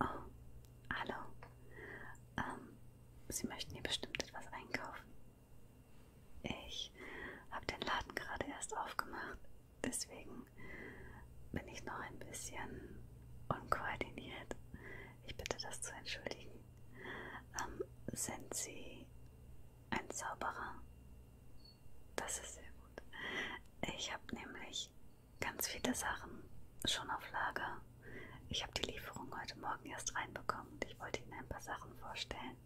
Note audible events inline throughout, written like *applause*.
Oh, hallo. Ähm, Sie möchten hier bestimmt etwas einkaufen. Ich habe den Laden gerade erst aufgemacht deswegen bin ich noch ein bisschen unkoordiniert. Ich bitte das zu entschuldigen. Ähm, sind Sie ein Zauberer? Das ist sehr gut. Ich habe nämlich ganz viele Sachen schon auf Lager. Ich habe die Lieferung heute Morgen erst reinbekommen und ich wollte Ihnen ein paar Sachen vorstellen,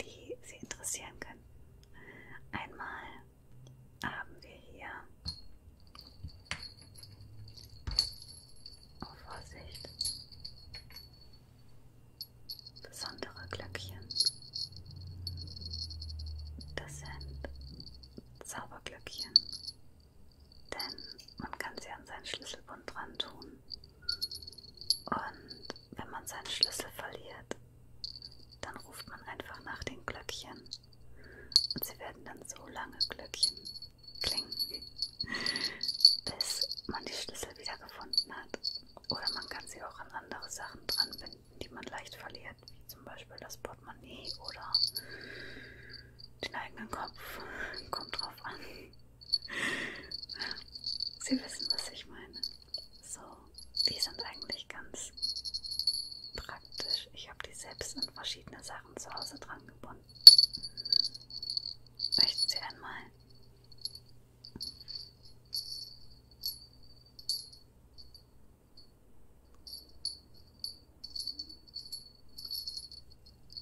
die Sie interessieren könnten. Einmal haben wir hier. Oh, Vorsicht! Besondere Glöckchen. Das sind Zauberglöckchen. Denn man kann sie an seinen Schlüsselbund dran tun. Und wenn man seinen Schlüssel verliert, dann ruft man einfach nach den Glöckchen und sie werden dann so lange Glöckchen klingen, bis man die Schlüssel wieder gefunden hat. Oder man kann sie auch an andere Sachen dranbinden, die man leicht verliert, wie zum Beispiel das Portemonnaie oder den eigenen Kopf. Kommt drauf an. Sie wissen, was ich meine. So die sind eigentlich ganz praktisch. Ich habe die selbst an verschiedene Sachen zu Hause dran gebunden. Möchten Sie einmal?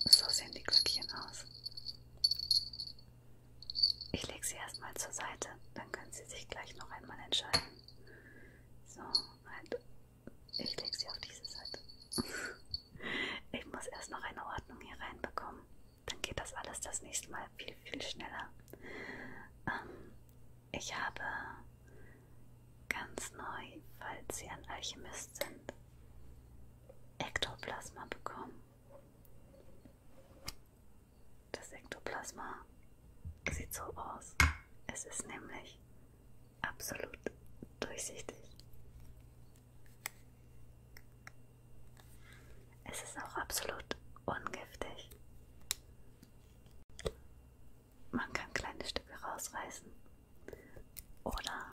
So sehen die Glöckchen aus. Ich lege sie erstmal zur Seite, dann können Sie sich gleich noch einmal entscheiden. So, halt. Ich lege sie auf diese Seite. *laughs* Ich muss erst noch eine Ordnung hier reinbekommen. Dann geht das alles das nächste Mal viel, viel schneller. Ähm, ich habe ganz neu, falls Sie ein Alchemist sind, Ektoplasma bekommen. Das Ektoplasma sieht so aus. Es ist nämlich absolut durchsichtig. Es ist auch absolut ungiftig. Man kann kleine Stücke rausreißen oder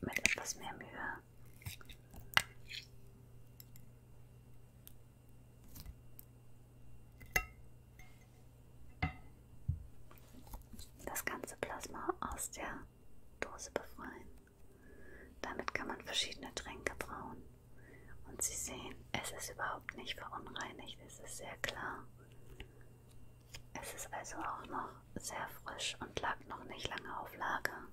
mit etwas mehr Mühe das ganze Plasma aus der Dose befreien. Damit kann man verschiedene Tränke brauen. Und Sie sehen, es ist überhaupt nicht verunreinigt, es ist sehr klar. Es ist also auch noch sehr frisch und lag noch nicht lange auf Lager.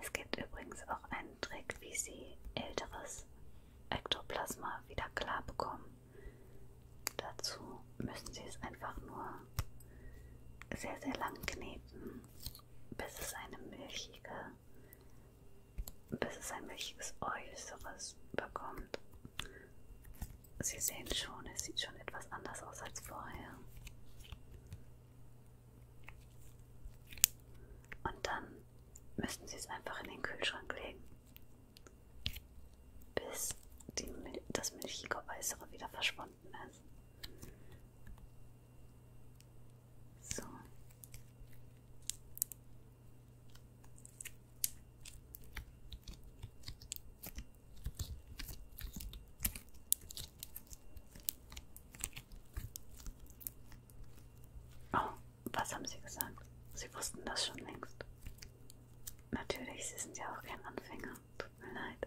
Es gibt übrigens auch einen Trick, wie Sie älteres Ektoplasma wieder klar bekommen. Dazu müssen Sie es einfach nur sehr, sehr lang kneten, bis es eine milchige, bis es ein milchiges Äußeres bekommt. Sie sehen schon, es sieht schon etwas anders aus als vorher. Und dann müssen Sie es einfach in den Kühlschrank legen, bis die, das milchige Äußere wieder verschwunden ist. So. Oh, was haben Sie gesagt? Sie wussten das schon längst. Natürlich, Sie sind ja auch kein Anfänger. Tut mir leid.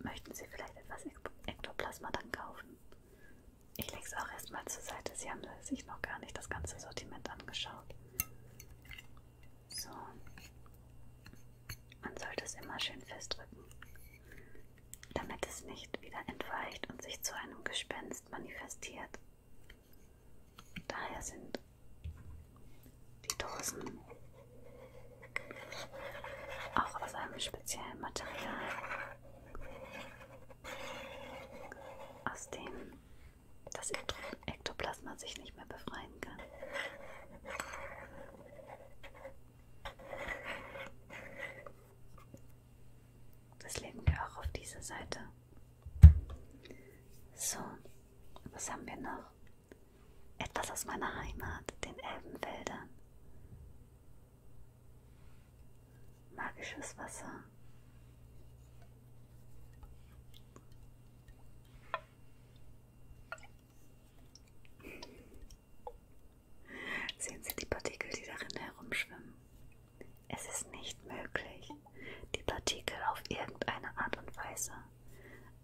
Möchten Sie vielleicht etwas Ektoplasma dann kaufen? Ich lege es auch erstmal zur Seite. Sie haben sich noch gar nicht das ganze Sortiment angeschaut. So. Man sollte es immer schön festdrücken damit es nicht wieder entweicht und sich zu einem Gespenst manifestiert. Daher sind die Dosen auch aus einem speziellen Material, aus dem das Ektoplasma sich nicht mehr befreien kann. Das legen wir auch auf diese Seite. So, was haben wir noch? Etwas aus meiner Heimat, den Elbenwäldern. Magisches Wasser. Sehen Sie die Partikel, die darin herumschwimmen? Es ist nicht möglich, die Partikel auf irgendeine Art und Weise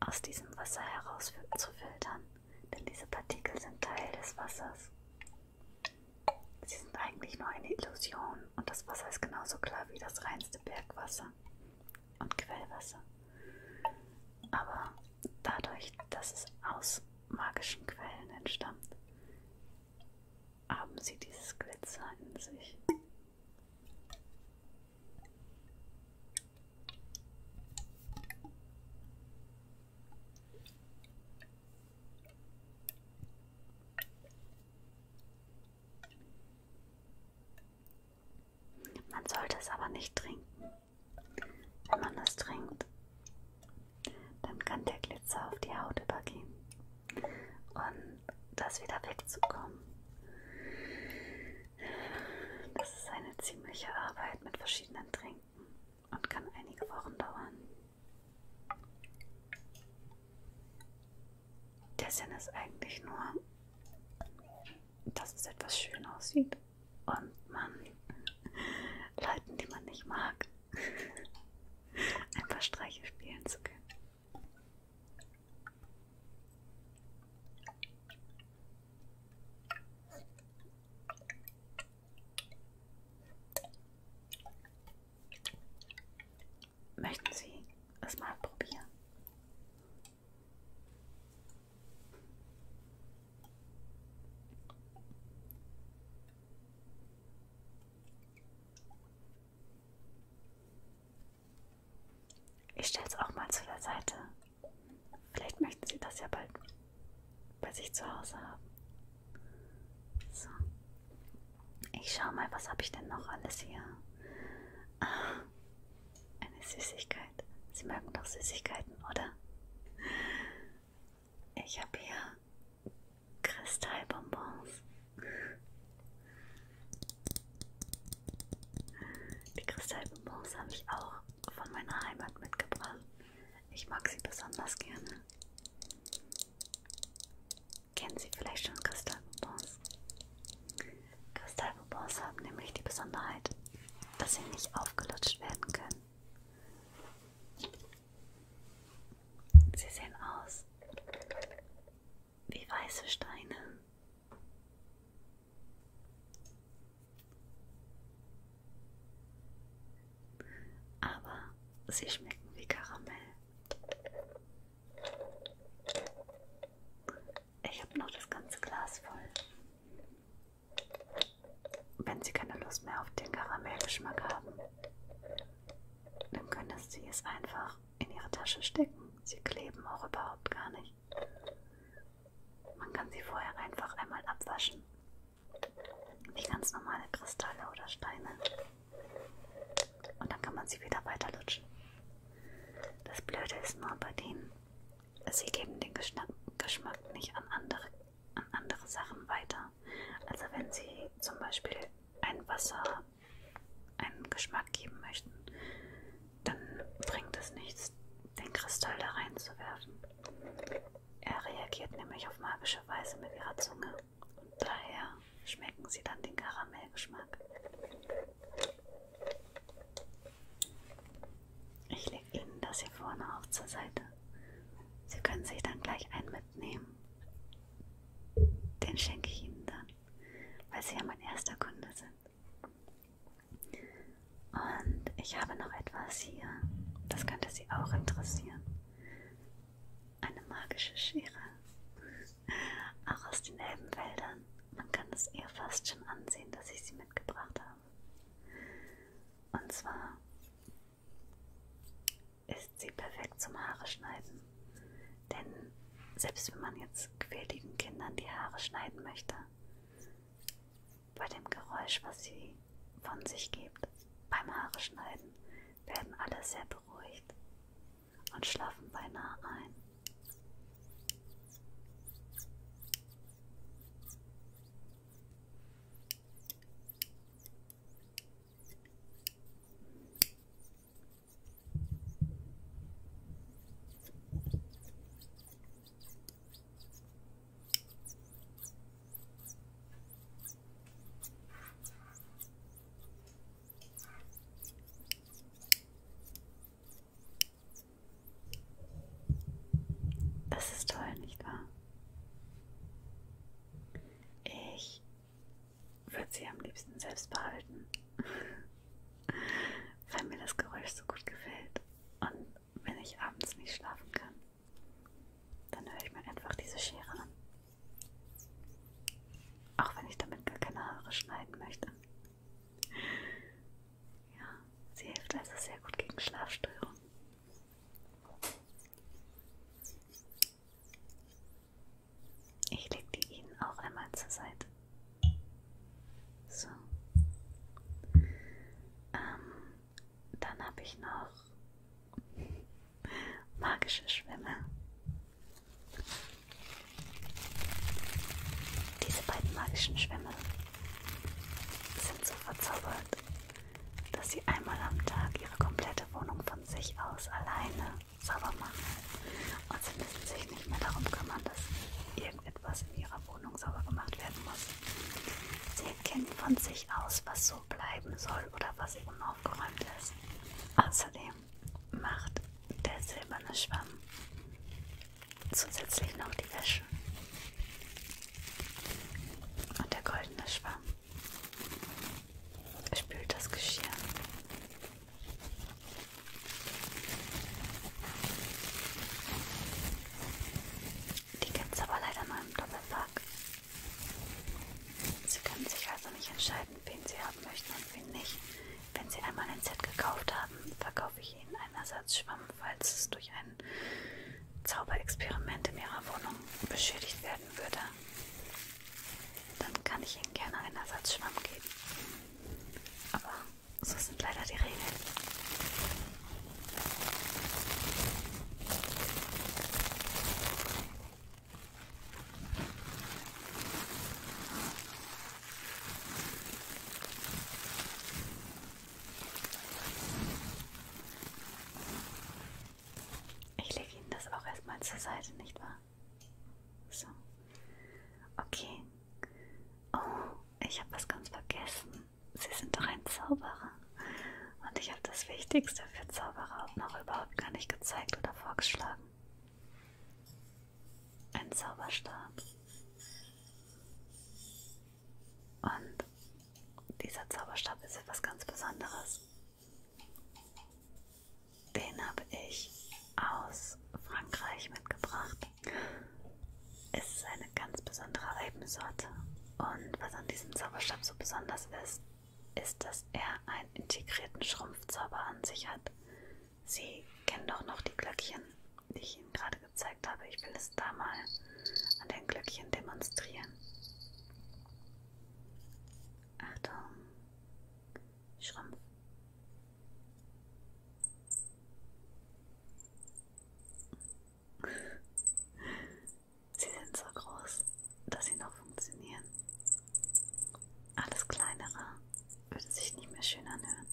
aus diesem Wasser herauszufiltern, denn diese Partikel sind Teil des Wassers. Sie sind eigentlich nur eine Illusion und das Wasser ist genauso klar wie das reinste Bergwasser und Quellwasser. Aber dadurch, dass es aus magischen Quellen entstammt, haben sie dieses Glitzer in sich. Man sollte es aber nicht trinken. Wenn man das trinkt, dann kann der Glitzer auf die Haut übergehen und das wieder wegzukommen. Das ist eine ziemliche Arbeit mit verschiedenen Trinken und kann einige Wochen dauern. Der Sinn ist eigentlich nur, dass es etwas schön aussieht und man *laughs* Leuten, die man nicht mag, *laughs* ein paar Streiche spielen zu können. Möchten Sie es mal probieren? Ich stelle es auch mal zu der Seite. Vielleicht möchten Sie das ja bald bei sich zu Hause haben. So. Ich schaue mal, was habe ich denn noch alles hier? Ah, eine Süßigkeit. Sie mögen doch Süßigkeiten, oder? Ich habe hier Kristallbonbons. Die Kristallbonbons habe ich auch von meiner Heimat mitgebracht. Ich mag sie besonders gerne. Kennen Sie vielleicht schon Kristallbonbons? Kristallbonbons haben nämlich die Besonderheit, dass sie nicht aufgelutscht werden können. Sie sehen aus wie weiße Steine. Aber sie schmecken wie Karamell. Ich habe noch das ganze Glas voll. Wenn Sie keine Lust mehr auf den Karamellgeschmack haben, dann könntest Sie es einfach in Ihre Tasche stecken. Sie kleben auch überhaupt gar nicht. Man kann sie vorher einfach einmal abwaschen. Wie ganz normale Kristalle oder Steine. Und dann kann man sie wieder weiterlutschen. Das Blöde ist nur bei denen, sie geben den Geschna Geschmack nicht an andere, an andere Sachen weiter. Also wenn sie zum Beispiel ein Wasser einen Geschmack geben möchten, dann bringt es nichts, den Kristall da reinzuwerfen. Er reagiert nämlich auf magische Weise mit ihrer Zunge und daher schmecken sie dann den Karamellgeschmack. Ich lege Ihnen das hier vorne auch zur Seite. Sie können sich dann gleich einen mitnehmen. Den schenke ich Ihnen dann, weil Sie ja mein erster Kunde sind. Und ich habe noch etwas hier, das könnte Sie auch interessieren. Eine magische Schere. Auch aus den Elbenwäldern. Man kann es eher fast schon ansehen, dass ich sie mitgebracht habe. Und zwar ist sie perfekt zum Haare schneiden. Denn selbst wenn man jetzt quäligen Kindern die Haare schneiden möchte, bei dem Geräusch, was sie von sich gibt, beim Haare schneiden, werden alle sehr beruhigt und schlafen beinahe ein. Das ist toll, nicht wahr? Ich würde sie am liebsten selbst behalten, *laughs* weil mir das Geräusch so gut gefällt. Und wenn ich abends nicht schlafen kann, dann höre ich mir einfach diese Schere an. Auch wenn ich damit gar keine Haare schneiden möchte. Ja, sie hilft also sehr gut gegen Schlafstörungen. Ich lege die Ihnen auch einmal zur Seite. So. Ähm, dann habe ich noch *laughs* magische Schwämme. Diese beiden magischen Schwämme sind so verzaubert, dass sie einmal am Tag ihre komplette alte Wohnung von sich aus alleine sauber machen. Und sie müssen sich nicht mehr darum kümmern, dass irgendetwas in ihrer Wohnung sauber gemacht werden muss. Sie erkennen von sich aus, was so bleiben soll oder was unaufgeräumt ist. Außerdem macht der silberne Schwamm zusätzlich noch die Wäsche. Und der goldene Schwamm Spült das Geschirr. Die gibt es aber leider nur im Doppelpack. Sie können sich also nicht entscheiden, wen Sie haben möchten und wen nicht. Wenn Sie einmal ein Set gekauft haben, verkaufe ich Ihnen einen Ersatzschwamm, falls es durch ein Zauberexperiment in Ihrer Wohnung beschädigt werden würde dann kann ich Ihnen gerne einen Ersatzschwamm geben. Aber so sind leider die Regeln. Ich lege Ihnen das auch erstmal zur Seite, nicht wahr? So. Okay. Oh, ich habe was ganz vergessen. Sie sind doch ein Zauberer. Und ich habe das Wichtigste für Zauberer auch noch überhaupt gar nicht gezeigt oder vorgeschlagen. Ein Zauberstab. Und dieser Zauberstab ist etwas ganz Besonderes. Den habe ich aus Frankreich mitgebracht. Es ist eine ganz besondere Eibensorte. Und was an diesem Zauberstab so besonders ist, ist, dass er einen integrierten Schrumpfzauber an sich hat. Sie kennen doch noch die Glöckchen, die ich Ihnen gerade gezeigt habe. Ich will es da mal an den Glöckchen demonstrieren. Achtung, Schrumpf. Sie sind so groß, dass sie noch funktionieren. Alles kleinere würde sich nicht mehr schön anhören.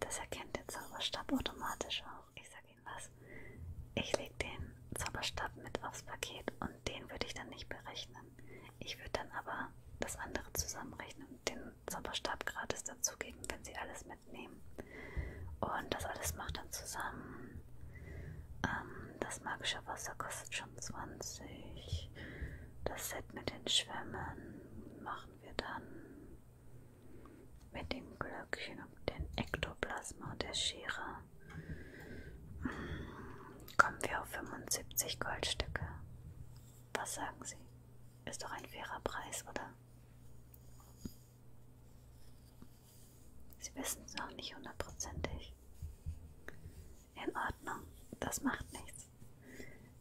Das erkennt der Zauberstab automatisch auch. Ich sage wen was. Ich lege den Zauberstab mit aufs Paket und den würde ich dann nicht berechnen. Ich würde dann aber das andere zusammenrechnen und den Zauberstab gratis dazugeben, wenn sie alles mitnehmen. Und das alles macht dann zusammen. Ähm, das magische Wasser kostet schon 20. Das Set mit den Schwämmen machen wir dann mit dem Glöckchen den Ektoplasma der Schere hm, kommen wir auf 75 Goldstücke. Was sagen Sie? Ist doch ein fairer Preis, oder? Sie wissen es noch nicht hundertprozentig. In Ordnung, das macht nichts.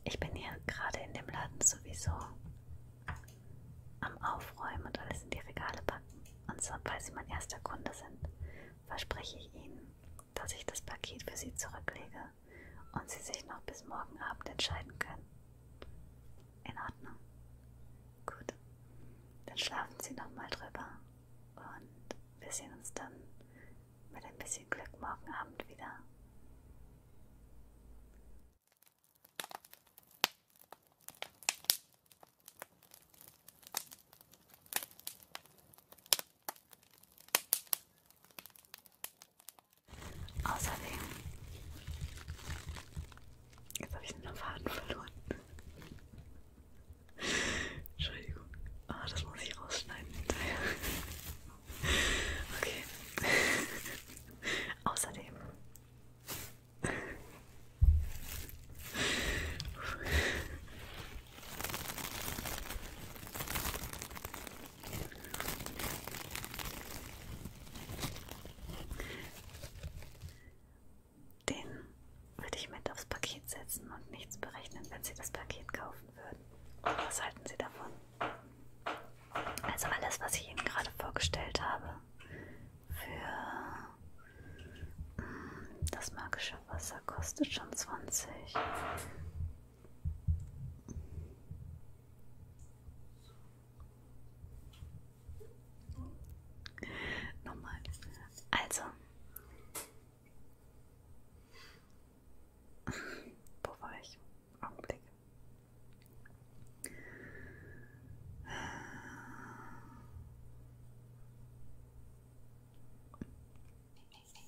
Ich bin hier gerade in dem Laden sowieso am Aufräumen und alles in die Regale packen und sobald Sie mein erster Kunde sind, verspreche ich Ihnen, dass ich das Paket für Sie zurücklege und Sie sich noch bis morgen Abend entscheiden können. In Ordnung. Gut. Dann schlafen Sie nochmal drüber und wir sehen uns dann mit ein bisschen Glück morgen Abend wieder. Außerdem, jetzt habe ich den Faden verloren. Entschuldigung, ah, das muss ich rausschneiden hinterher. Okay. *laughs* Außerdem den würde ich mit aufs Paket setzen und nichts berechnen, wenn Sie das Paket kaufen würden. Was halten Sie davon? Also alles, was ich Ihnen gerade vorgestellt habe, für mm, das magische Wasser kostet schon 20. Nochmal. Also. *laughs* Wo war ich? Augenblick.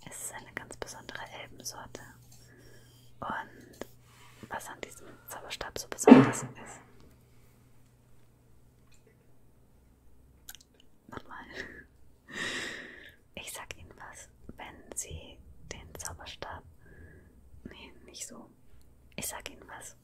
Es ist eine ganz besondere Elbensorte. Und was an diesem Zauberstab so besonders ist. Nochmal. Ich sag Ihnen was, wenn Sie den Zauberstab. Nee, nicht so. Ich sag Ihnen was,